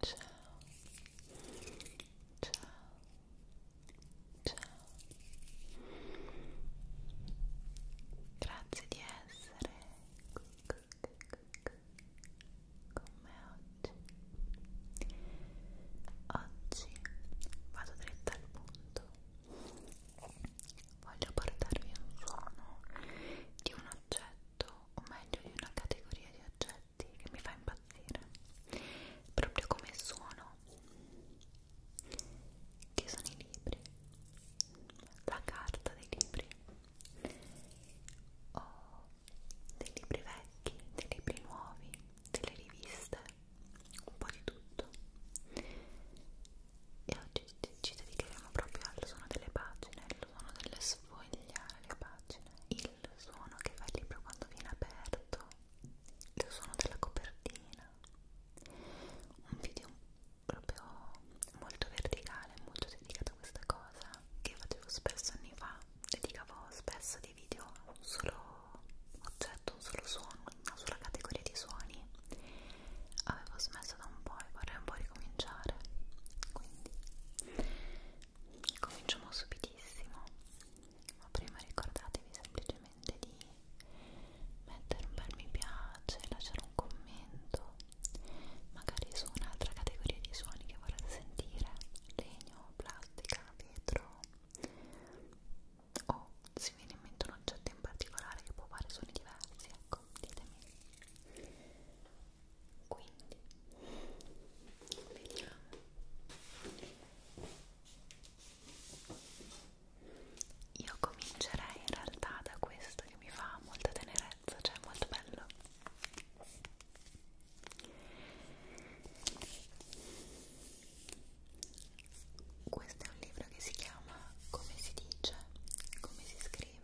ciao ciao ciao grazie di essere con me oggi oggi vado dritta al punto voglio portarvi un suono di un oggetto o meglio di una categoria di oggetti che mi fa impazzire proprio come suono che sono i libri la carta dei libri o dei libri vecchi dei libri nuovi delle riviste un po' di tutto e oggi ci dedicheremo proprio al suono delle pagine al suono delle sfogliare le pagine, il suono che fa il libro quando viene aperto, il suono della copertina, un video proprio molto verticale, molto dedicato a questa cosa che facevo spesso anni fa, dedicavo spesso dei video a un solo oggetto, un solo suono, una sola categoria di suoni avevo smesso da un po' e vorrei un po' ricominciare quindi cominciamo subitissimo ma prima ricordatevi semplicemente di mettere un bel mi piace lasciare un commento magari su un'altra categoria di suoni che vorrete sentire legno, plastica, vetro o oh, se viene in mente un oggetto in particolare che può fare suoni diversi ecco ditemi quindi vediamo io comincerei in realtà da questo che mi fa molta tenerezza cioè è molto bello questo è un libro che si chiama Come si dice, come si scrive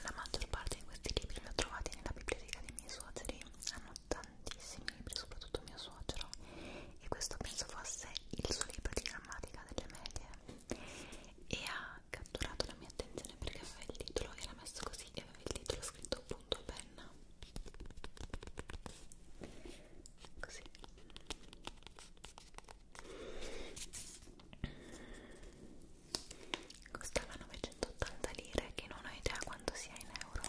la maggior parte di questi libri li ho trovati nella biblioteca dei miei suoceri, hanno tantissimi libri, soprattutto mio suocero, e questo penso fosse il suo libro di grammatica delle medie. E ha catturato la mia attenzione perché aveva il titolo, era messo così e aveva il titolo scritto appunto a penna. Così costava 980 lire che non ho idea quanto sia in euro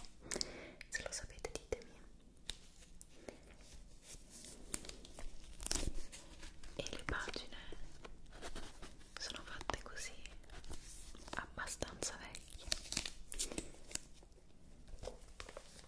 se lo sapete ditemi e le pagine sono fatte così abbastanza vecchie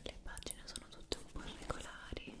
Le pagine sono tutte un po' irregolari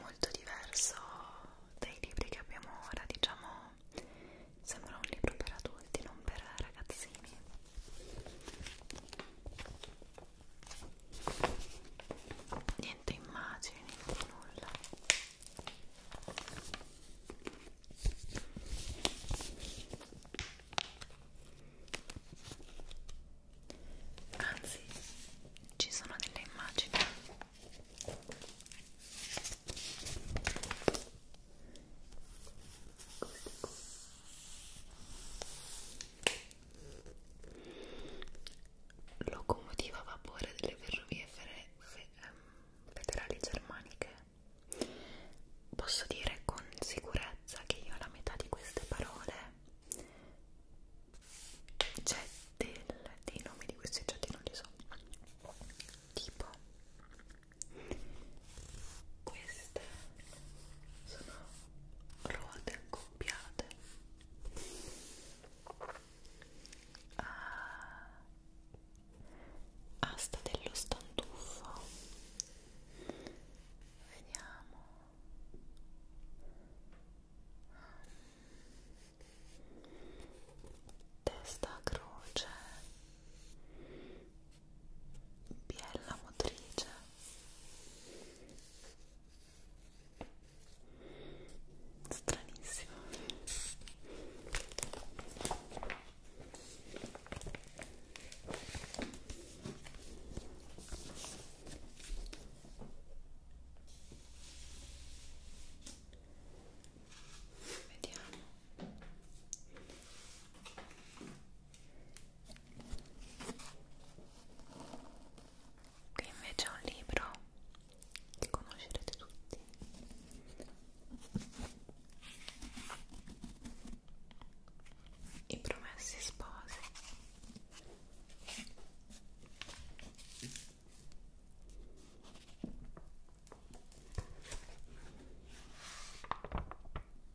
molto diverso dai libri che abbiamo ora diciamo sembra un libro per adulti non per ragazzini niente immagini, nulla anzi ci sono delle immagini queste locomotiva a vapore delle ferrovie ehm, federali germaniche posso dire con sicurezza che io alla metà di queste parole c'è del, dei nomi di questi oggetti non li so tipo queste sono ruote accoppiate ah, asta dello stantuffo vediamo testa a croce biella motrice stranissimo vediamo qui invece è un libro che conoscerete tutti i promessi sposi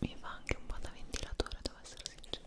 Mi fa anche un po' da ventilatore, devo essere sincero.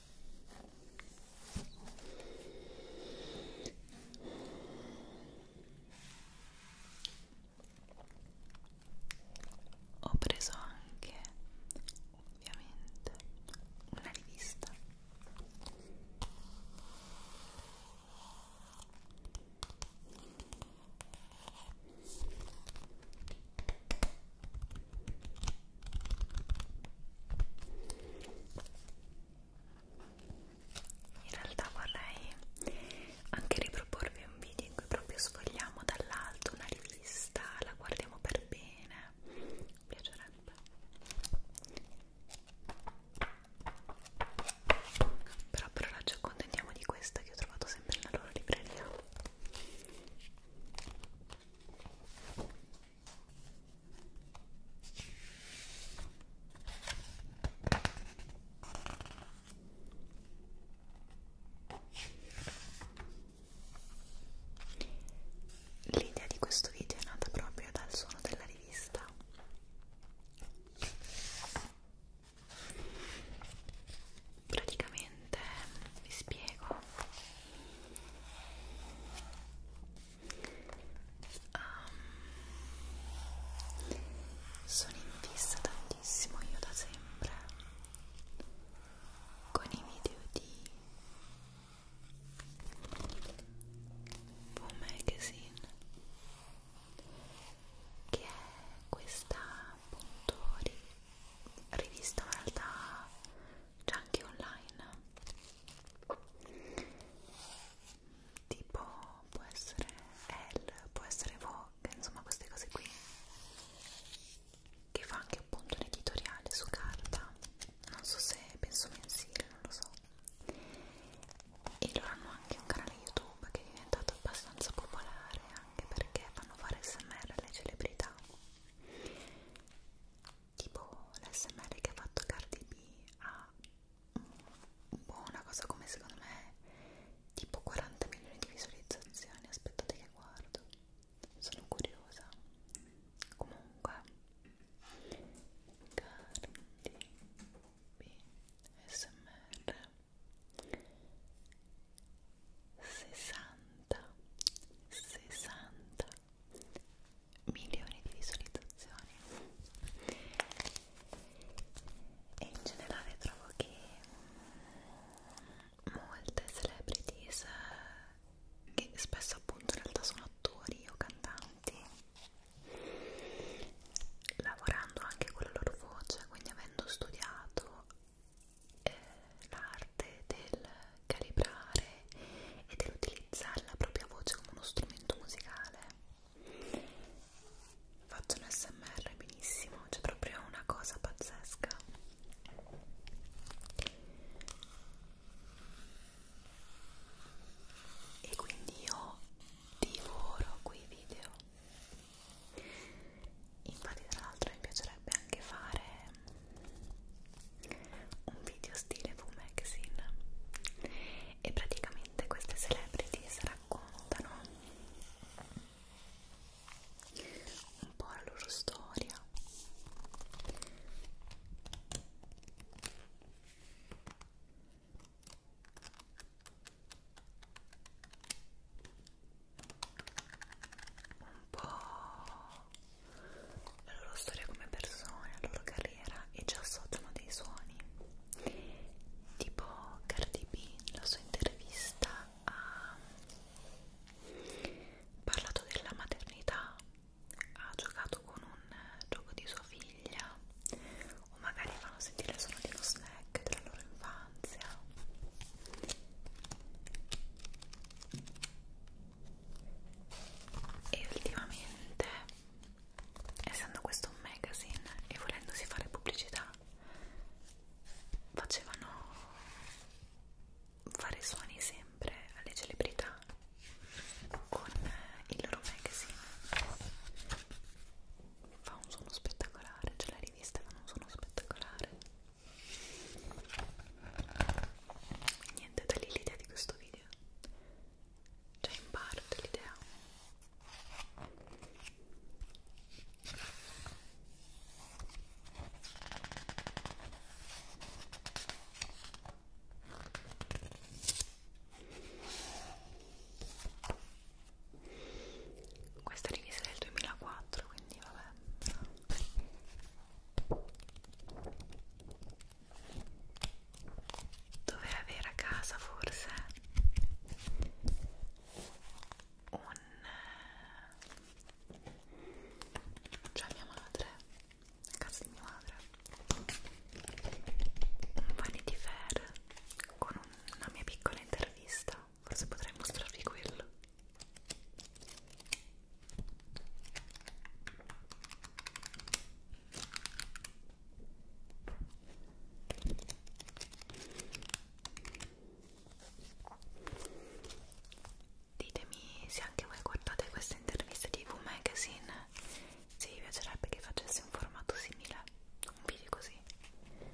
Ho preso anche, ovviamente, una rivista in realtà vorrei anche riproporvi un video in cui proprio sfogliamo dall'alto una rivista, la guardiamo per bene, mi piacerebbe. Però per ora ci accontentiamo di questa che ho trovato sempre nella loro libreria. L'idea di questo video è nata proprio dal suono della rivista. Praticamente praticamente vi spiego um, sono in fissa tantissimo io da sempre con i video di Boom Magazine che è questa appunto rivista in realtà c'è anche online tipo può essere Elle, può essere Vogue, insomma queste cose qui che fa anche appunto un editoriale su carta non so se penso mensile, non lo so e loro hanno anche un canale youtube che è diventato abbastanza popolare anche perché fanno fare smr alle celebrità tipo l'SMR che ha fatto Cardi B ha un po' una cosa come secondo me tipo 40 milioni di visualizzazioni aspettate che guardo sono curiosa comunque Cardi B SMR 60 60 milioni di visualizzazioni e in generale trovo che molte celebrities che spesso appunto in realtà sono attori o cantanti lavorando anche con la loro voce quindi avendo studiato eh, l'arte del calibrare e dell'utilizzare la propria voce come uno strumento musicale. Faccio un smr benissimo, c'è cioè proprio una cosa pazzesca. E quindi io divoro quei video infatti tra l'altro mi piacerebbe anche fare un video stile V Magazine e praticamente queste celebrities raccontano un po' la loro storia un po' la loro storia come persone, la loro carriera e ci associano dei suoni tipo Cardi B la sua intervista ha parlato della maternità ha giocato con un gioco di sua figlia o magari fanno sentire il suono di uno snack della loro infanzia e ultimamente essendo questo un magazine e volendosi fare pubblicità facevano fare suoni sempre alle celebrità con il loro magazine fa un suono spettacolare, cioè la rivista fa un suono spettacolare niente da lì l'idea di questo video già in parte l'idea questa rivista è del 2004 quindi vabbè Dovrei avere a casa forse un cioè mia madre, a casa di mia madre, un Vanity Fair con una mia piccola intervista forse potrei mostrarvi quello ditemi se anche voi guardate queste interviste di V Magazine se vi piacerebbe che facessi un formato simile un video così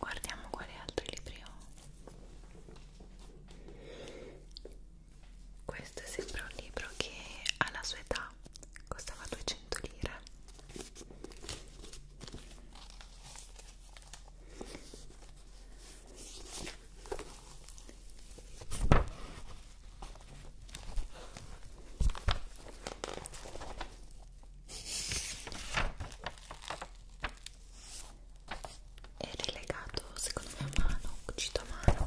Guardiamo quali altri libri ho. Questo è sempre un libro che alla sua età costava 200 lire è rilegato secondo me a mano, cucito a mano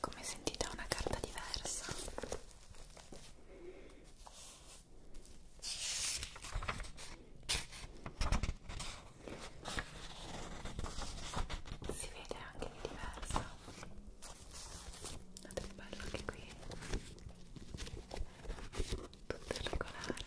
Come sentite è una carta diversa. Si vede anche che è diversa. Guardate che bello anche qui. Tutto regolare.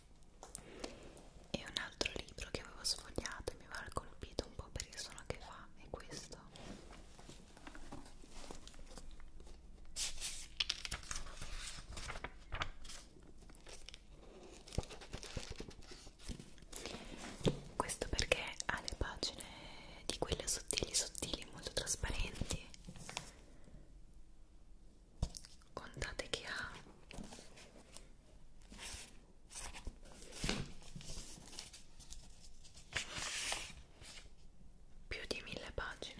e un altro libro che avevo sfogliato e mi aveva colpito un po' per il suono che fa è questo questo perché ha le pagine di quelle sottili sottili molto trasparenti contate che ha più di mille pagine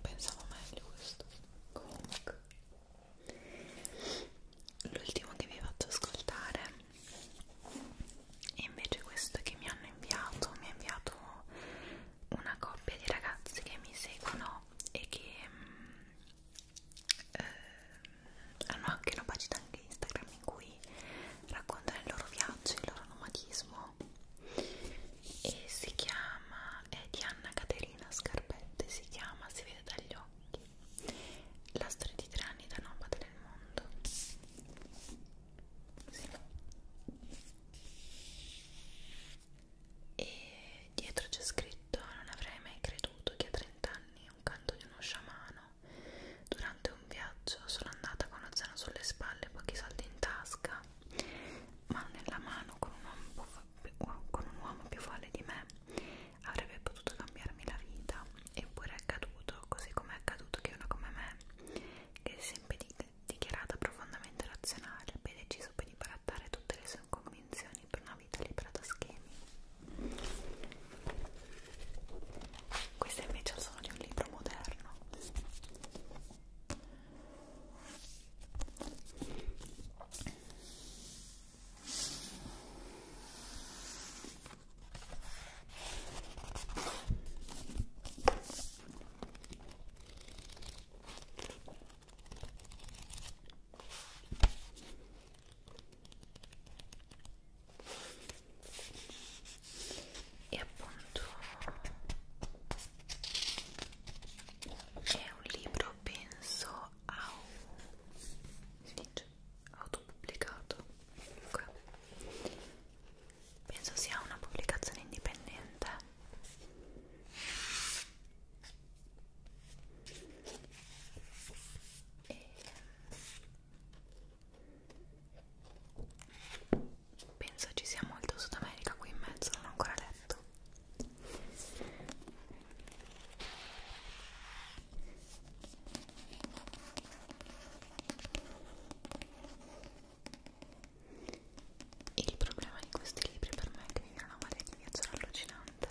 Pensavo meglio questo. Comunque, l'ultimo che vi faccio ascoltare è invece questo che mi hanno inviato. Mi ha inviato una coppia di ragazzi che mi seguono e che mm, eh, hanno anche una pagina anche Instagram in cui raccontano il loro viaggio, il loro nomadismo e si chiama, è di Anna Caterina Scarpette, si chiama, si vede dagli occhi la storia di tre anni da nomade nel mondo sì. e dietro c'è scritto non avrei mai creduto che a 30 anni un canto di uno sciamano Durante un viaggio sono andata con l'oceano sulle spalle e pochi soldi in tasca, ma nella mano con un uomo, con un uomo più folle di me avrebbe potuto cambiarmi la vita, eppure è accaduto, così come è accaduto che una come me, che si è sempre dichiarata profondamente razionale, abbia deciso per di barattare tutte le sue convinzioni per una vita libera da schemi. Queste invece sono di un libro moderno e appunto è un libro penso si dice autopubblicato okay. penso sia una pubblicazione indipendente e Penso ci sia molto Sud America qui in mezzo, non ho ancora letto. Il problema di questi libri per me è che mi viene una marea di viaggio allucinante.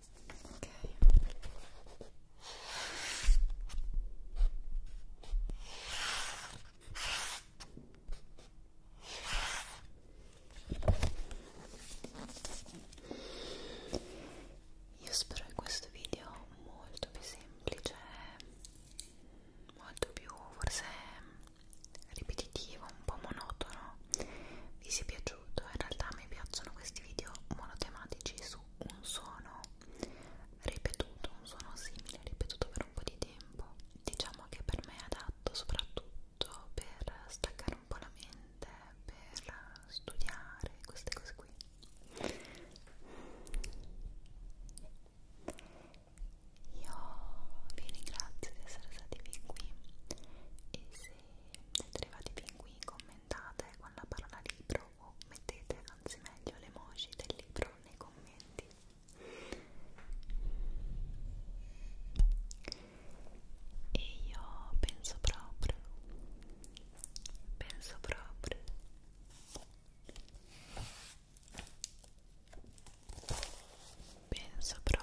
ok io spero che questo video molto più semplice molto più forse ripetitivo un po' monotono vi sia piaciuto piaciuto in realtà mi piacciono questi video monotematici su un suono ripetuto un suono simile ripetuto per un po' di tempo diciamo che per me è adatto soprattutto per staccare un po' la mente per studiare queste cose qui io vi ringrazio di essere stati fin qui e se se arrivati fin qui commentate con la parola libro o mettete anzi meglio le emoji del libro nei commenti e io penso proprio penso proprio penso proprio